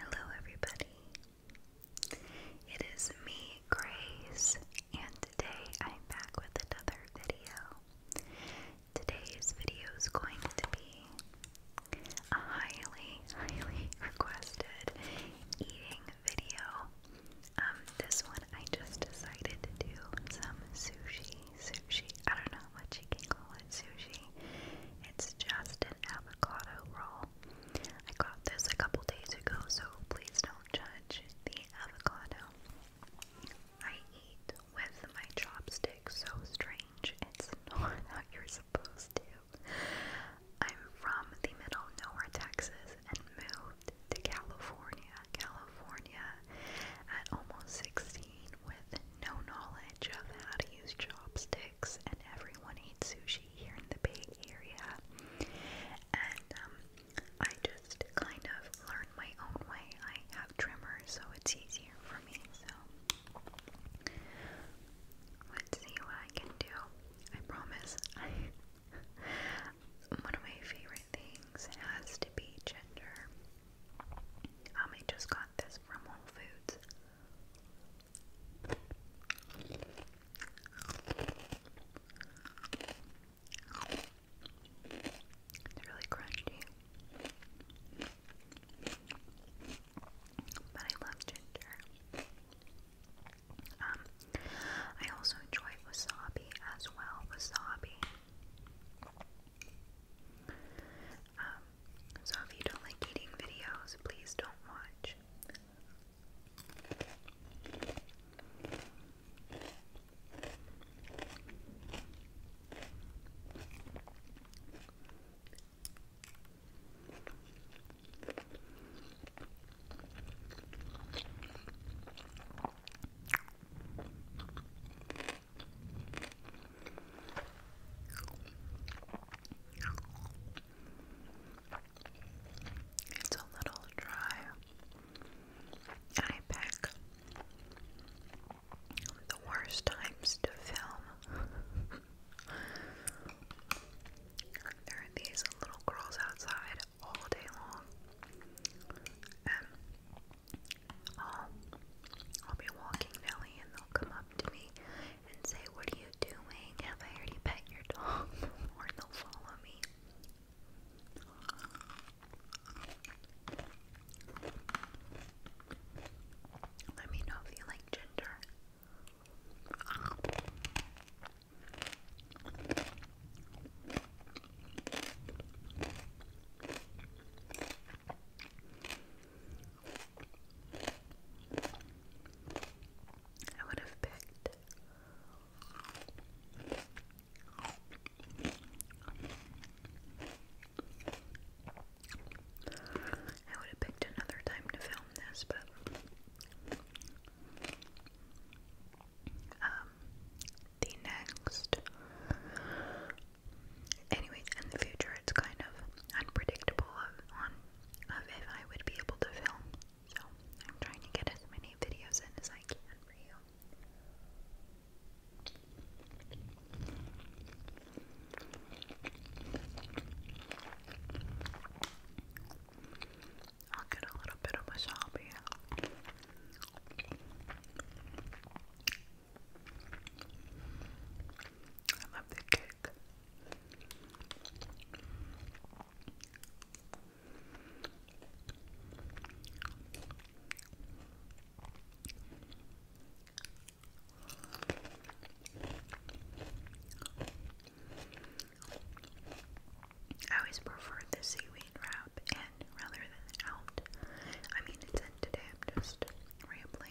Hello, everybody. It is me, Grace, and today I'm back with another video. Today's video is going to be a highly, highly requested eating video. Um, this one I just decided to do some sushi. Sushi. I don't know what you can call it. Sushi. It's just an avocado roll. I got this a couple days ago, so please don't judge the avocado. I eat with my chopsticks, so strange. It's not how you're supposed to. I'm from the middle of nowhere, Texas, and moved to California, California at almost 16 with no knowledge of how to use chopsticks and everyone eats sushi here in the Bay Area. And um, I just kind of learned my own way. I have trimmers, so it's easier for me. So let's see what I can do. I promise. one of my favorite things has to be ginger. Um, I just got this from Whole Foods. It's really crunchy. But I love ginger. Um, I also enjoy wasabi as well. Wasabi. Um, so if you don't like eating videos, please don't watch. It's a little dry. I pick the worst times to film. there are these little girls outside all day long. And um, I'll, be walking Nelly and they'll come to me and say, What are you doing? Have I already pet your dog? or they'll follow me. Let me know if you like ginger. I would have picked I would have picked another time to film this, but um, the next Anyway, in the future, it's kind of unpredictable of, on of if I would be able to film. So I'm trying to get as many videos in as I can for you. I'll get a little bit of wasabi. I love the cake. I always prefer the seaweed wrap and rather than out. I mean, it's in today, I'm just rambling.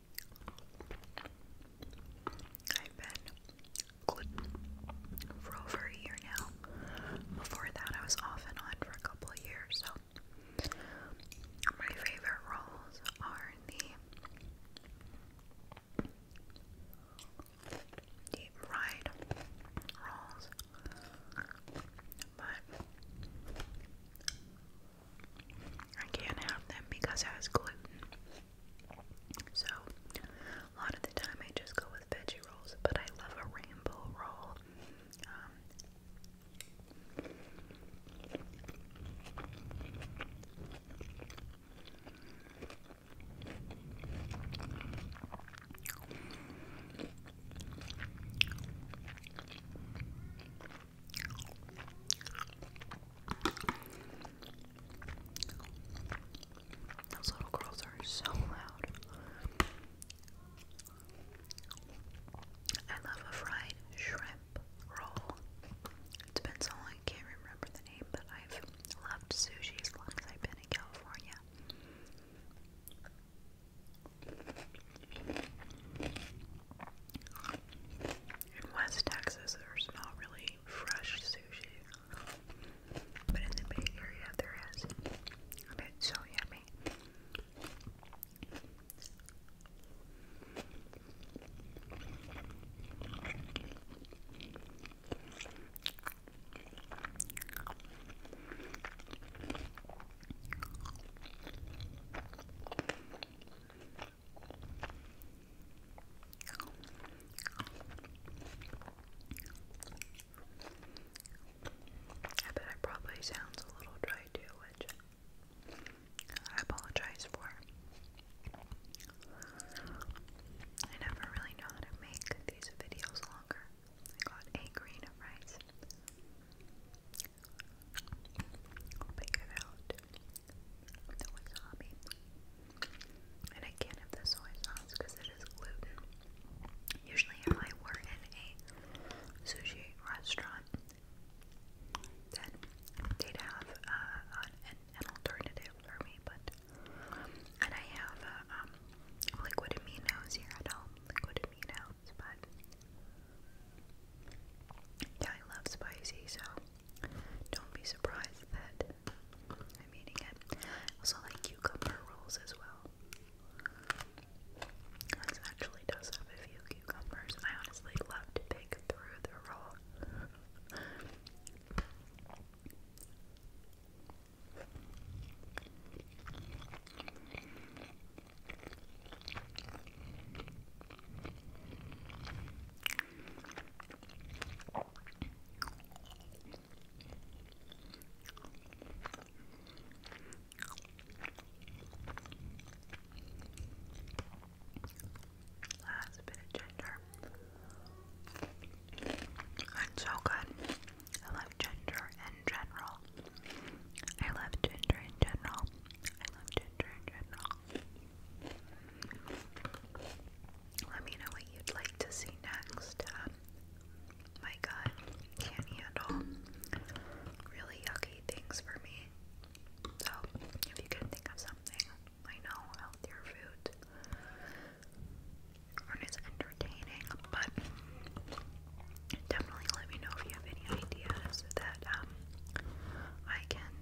I've been gluten for over a year now. Before that, I was off and on for a couple years. So, my favorite rolls are the deep fried rolls, but I can't have them because it has gluten. So, a lot of the time I just go with veggie rolls, but I love a rainbow roll. Um, those little girls are so loud. I love a fried shrimp roll. It's been so long I can't remember the name, but I've loved sushi as long as I've been in California. In West Texas, there's not really fresh sushi, but in the Bay Area, there is. And it's so yummy. I bet it probably sounds a little dry too, which I apologize for. I never really know how to make these videos longer. I got a grain of rice figure out the wasabi. And I can't have the soy sauce because it is gluten. Usually, if I were in a sushi restaurant, then they'd have uh, an, an alternative for me. But and I have uh, um, liquid aminos here at home, liquid aminos, but yeah, I love spicy, so don't be surprised that I'm eating it. Also, like cucumber rolls as well. This actually does have a few cucumbers, I honestly love to pick through the roll. Last bit of ginger. It's so good. I love ginger in general. I love ginger in general. I love ginger in general. Let me know what you'd like to see next. Um, my gut can't handle really yucky things for me. So, if you can think of something, I know healthier food and it's entertaining, but definitely let me know if you have any ideas that um, I can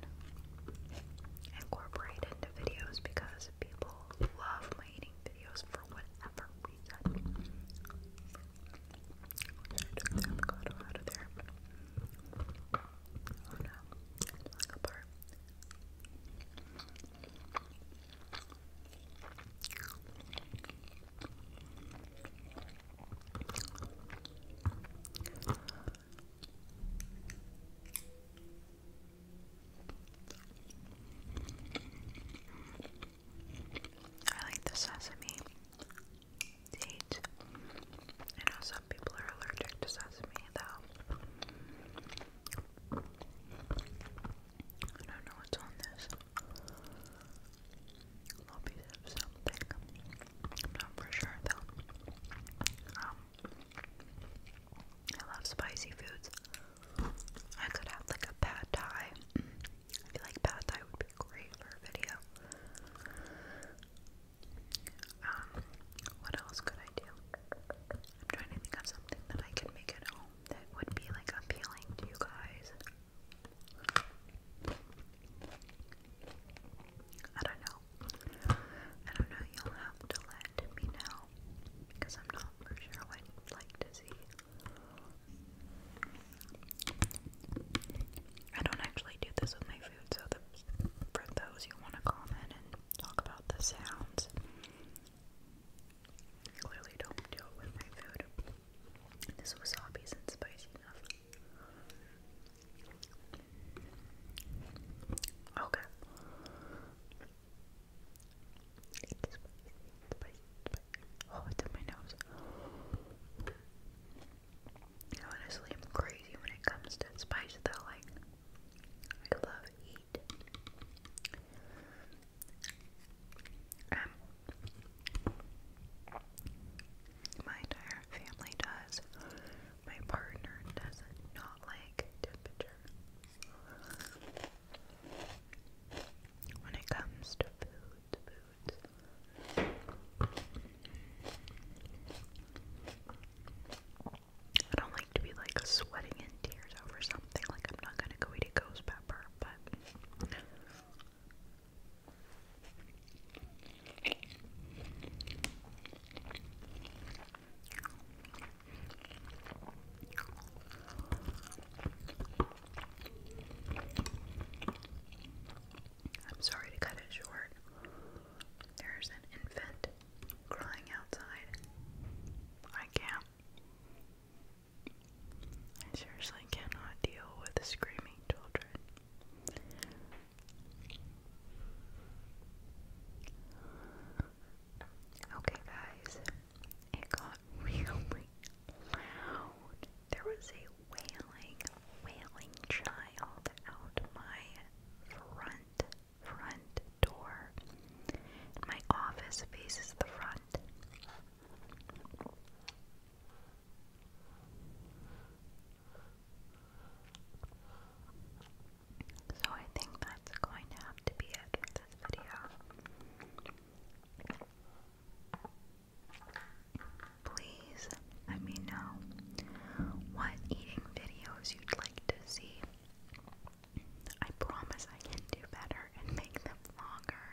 incorporate into videos because people love my eating videos for whatever reason. Took the avocado out of there. Oh no, it's falling apart. I like the sesame seeds. I know people are allergic to sesame, though. I don't know what's on this. Lobbies something. i not for sure though. Um, I love spicy foods. I could have like a pad thai. I feel like pad thai would be great for a video. Um, what else could I do? I'm trying to think of something that I could make at home that would be like appealing to you guys. I don't know. I don't know. You'll have to let me know because I'm not for sure what you'd like to see. I don't actually do this with my food, so for those who want to comment and talk about the sounds, clearly don't do with my food. This wasabi isn't spicy enough. Okay. It's spicy, spicy, spicy. Oh, it's in my nose. Honestly, I'm crazy when it comes to spice, though. Like, I love heat. Um, my entire family does. My partner does not like temperature. When it comes to food. I don't like to be like sweating in tears over something. Like I'm not gonna go eat a ghost pepper, but I'm sorry to cut it short. There's an infant crying outside. I can't. I seriously cannot deal with screaming children. Okay, guys, it got really loud. There was a wailing, wailing child out my front, front door. My office faces the front. So I think that's going to have to be it for this video. Please let me know what eating videos you'd like to see. I promise I can do better and make them longer.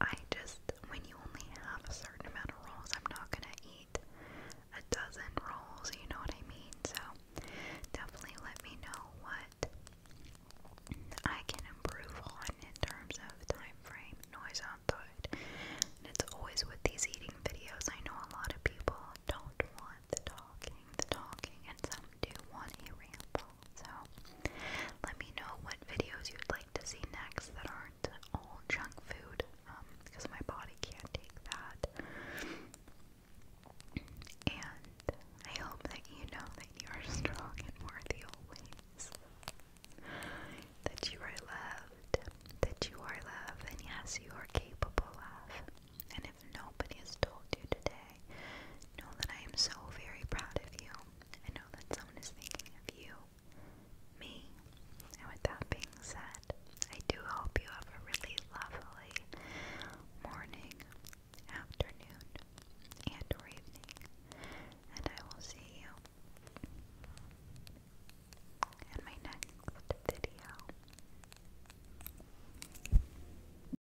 I just, when you only have a certain amount of rolls, I'm not gonna eat a dozen rolls, you know what I mean? So, definitely let me know what I can improve on in terms of time frame, noise output. And it's always with these eating videos, I know a lot of people don't want the talking, the talking, and some do want a ramble. So, let me know what videos you'd like to see next that aren't all junk food, um, because my body can't take that. And I hope that you know that you are strong and worthy always. That you are loved, that you are loved, and yes, you are capable of. And nobody has told you today, know that I am so very proud of you. I know that someone is thinking of you, me. And with that being said, I do hope you have a really lovely morning, afternoon, and evening. And I will see you in my next video.